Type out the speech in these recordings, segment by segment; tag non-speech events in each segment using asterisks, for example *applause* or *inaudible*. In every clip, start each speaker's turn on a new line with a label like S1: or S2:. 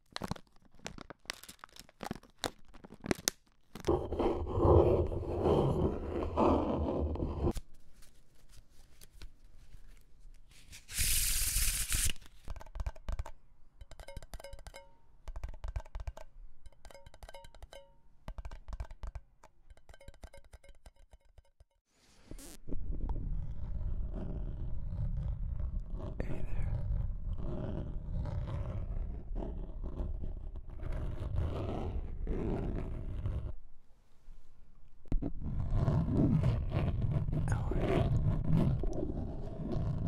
S1: Hey there. Alright.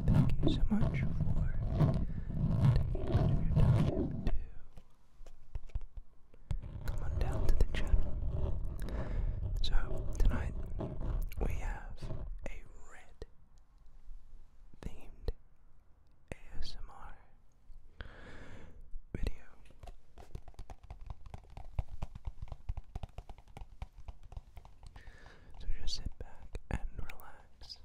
S1: Thank you so much for taking part your time to come on down to the channel. So tonight we have a red themed ASMR video. So just sit back and relax.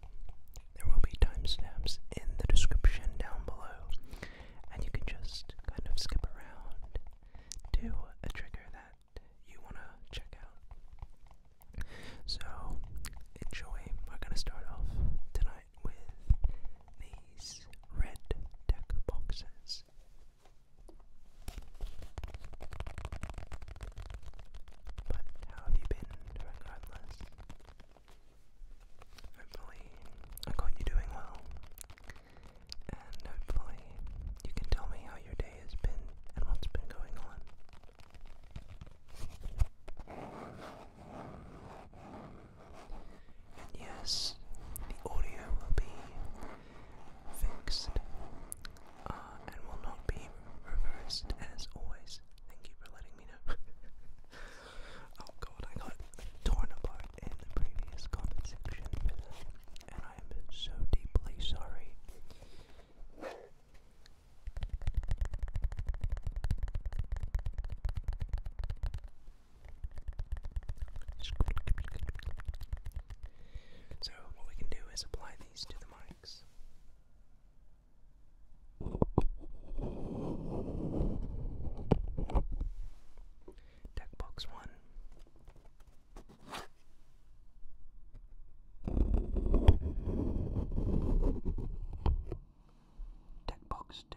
S1: There will be timestamps in the description down below, and you can just kind of skip around to a trigger that you want to check out. So, enjoy. We're going to start off tonight with these red deck boxes. But how have you been regardless? Hopefully, I got you doing well. And hopefully, you can tell me how your day has been and what's been going on. And yes, the audio will be fixed uh, and will not be reversed as always. Thank you for letting me know. *laughs* oh god, I got torn apart in the previous comment section and I am so deeply sorry. So, what we can do is apply these to the mics. Deck box one. Tech box two.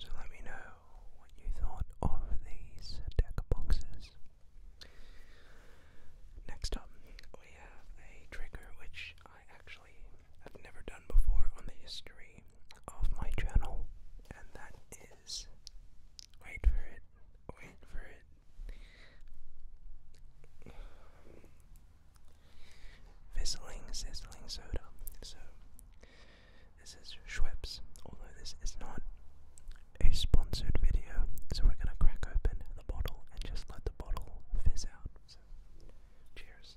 S1: So let me know what you thought of these deck boxes. Next up, we have a trigger which I actually have never done before on the history of my channel, and that is wait for it, wait for it. Fizzling, sizzling soda. So, this is Schweppes, although this is not a sponsored video, so we're gonna crack open the bottle and just let the bottle fizz out. So, cheers.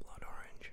S1: Blood orange.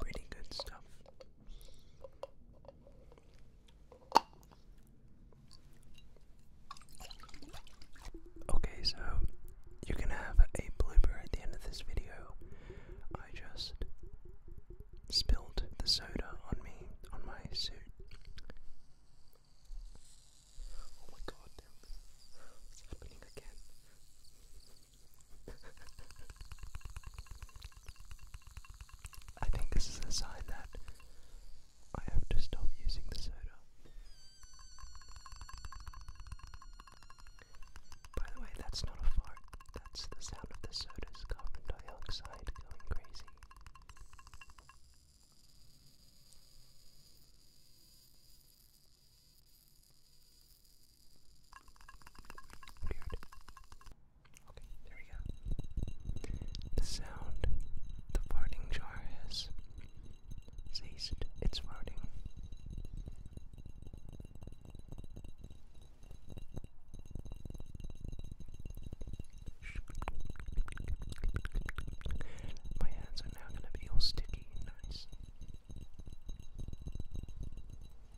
S1: Pretty good stuff. Okay, so you can have a blooper at the end of this video. I just spilled the soda on me, on my suit. Oh my god, it's happening again. I think this is a sign that I have to stop using the soda. By the way, that's not a fart, that's the sound of the soda's carbon dioxide going crazy. Weird. The sound the farting jar has ceased its farting. My hands are now going to be all sticky and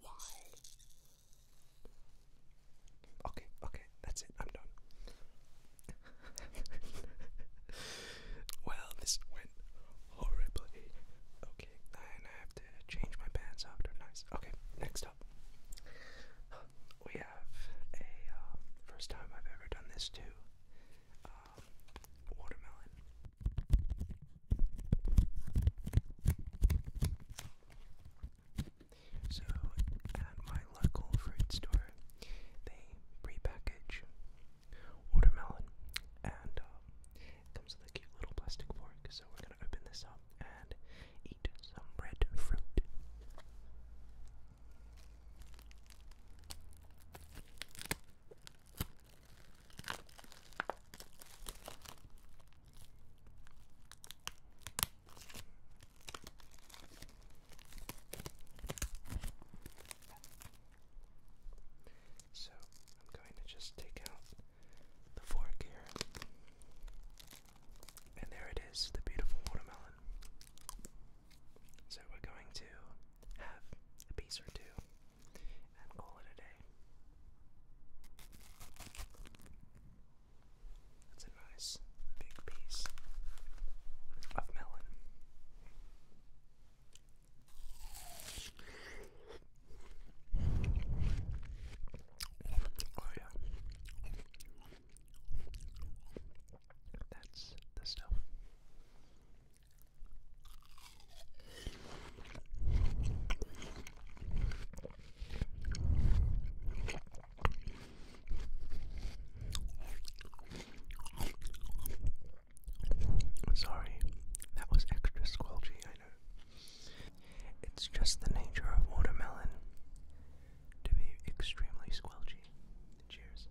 S1: Why? Okay, okay, that's it. I'm done. *laughs* well, this went horribly. Okay, and I have to change my pants after. Nice. Okay, next up we have a um, first time I've ever done this too. Um, watermelon. So at my local fruit store, they prepackage watermelon, and um, comes with a cute little plastic fork. So we're gonna open this up and eat some red fruit. So I'm going to just take out the fork here. And there it is, the beautiful watermelon. So we're going to have a piece or two and call it a day. That's a nice big piece of melon. Oh, yeah. That's the stuff. Sorry, that was extra squelchy, I know. It's just the nature of watermelon to be extremely squelchy. Cheers.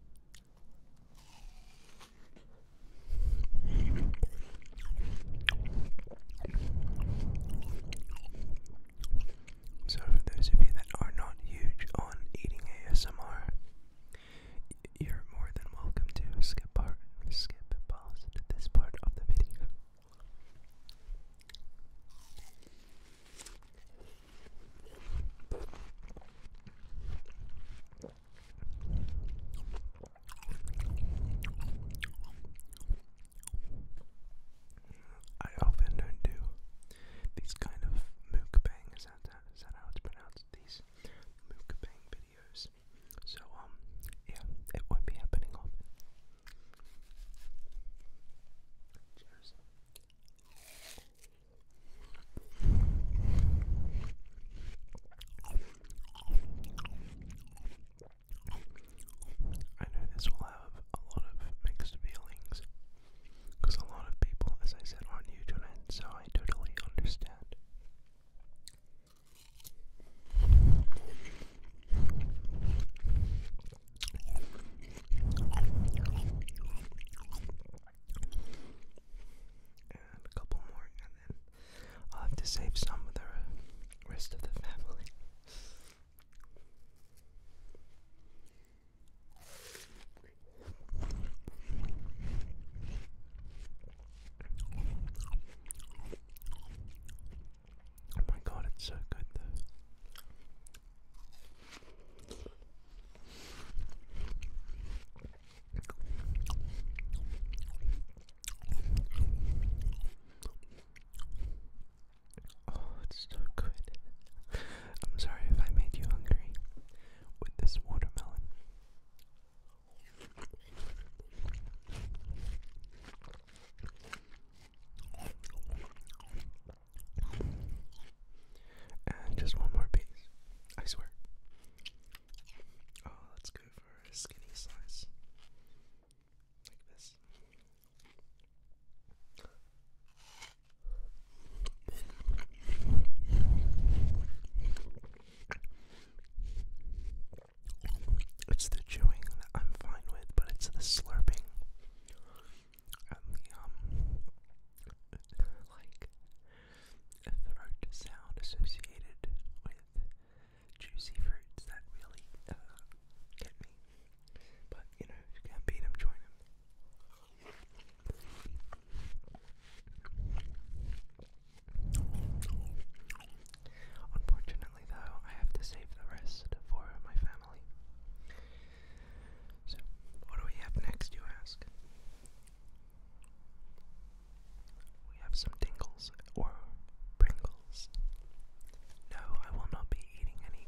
S1: So, for those of you that are not huge on eating ASMR, you're more than welcome to skip part, skip pause to this part of the video. I often don't do these kind of mukbang, is that how it's pronounced? These mukbang videos. So, um, yeah, it won't be happening often. I know this will have a lot of mixed feelings because a lot of people, as I said, aren't new so I totally understand. And a couple more, and then I'll have to save some for the rest of the family. Oh my god, it's so good though. Oh, it's so good. I'm sorry if I made you hungry with this watermelon. And just one more piece. I swear. Oh, let's go for a skinny slice. Like this. It's the chewing that I'm fine with, but it's the slurping and the um like throat sound associated with juicy fruits that really uh, get me. But you know, you can't beat 'em, join 'em. Unfortunately, though, I have to save the rest for my family. So, what do we have next, you ask? We have some tingles or Pringles. No, I will not be eating any.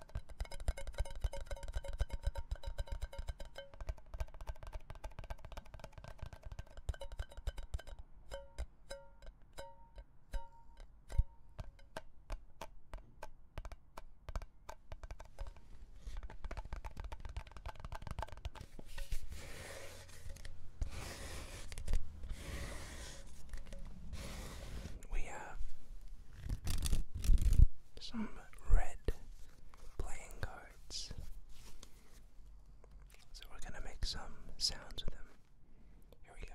S1: We have some red playing cards. So we're going to make some sounds with them. Here we go.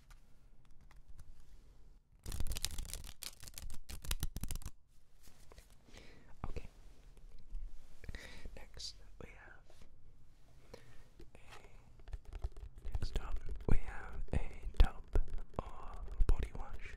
S1: Okay. Next we have a next up we have a tub of body wash.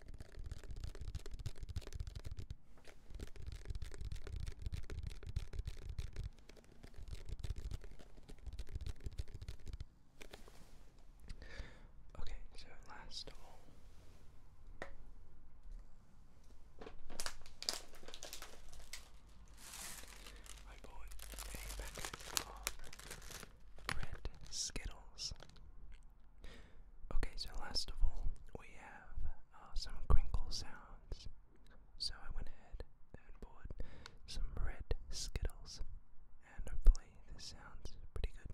S1: Okay, so last of all. I bought a packet of red Skittles. Okay, so last of all, we have uh, some crinkle sounds. So I went ahead and bought some red Skittles, and hopefully, this sounds pretty good.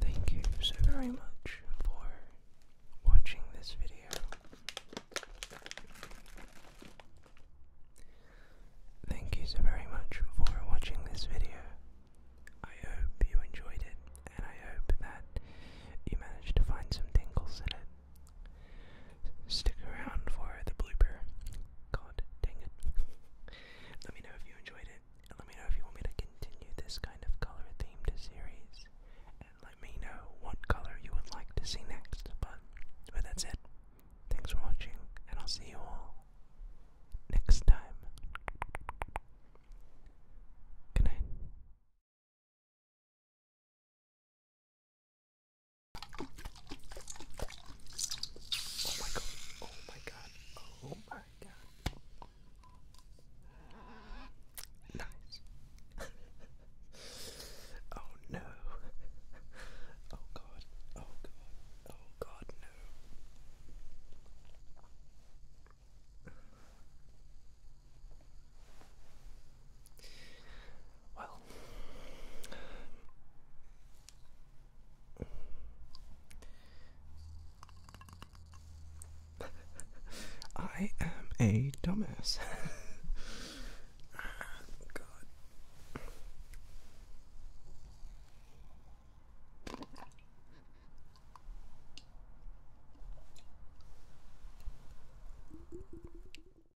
S1: Thank you so very much for watching this video. Thank you so very much for watching this video. I hope you enjoyed it and I hope that you managed to find some tingles in it. Stick around for the blooper. God dang it. let me know if you enjoyed it, and let me know if you want me to continue this kind of color themed series, and let me know what color you would like to see next. But, but that's it. Thanks for watching, and I'll see you all next time. Good night. Oh my god, oh my god, oh my god. Nice. oh no. Oh god, oh god, oh god, no. Well, I am a dumbass. God. *laughs*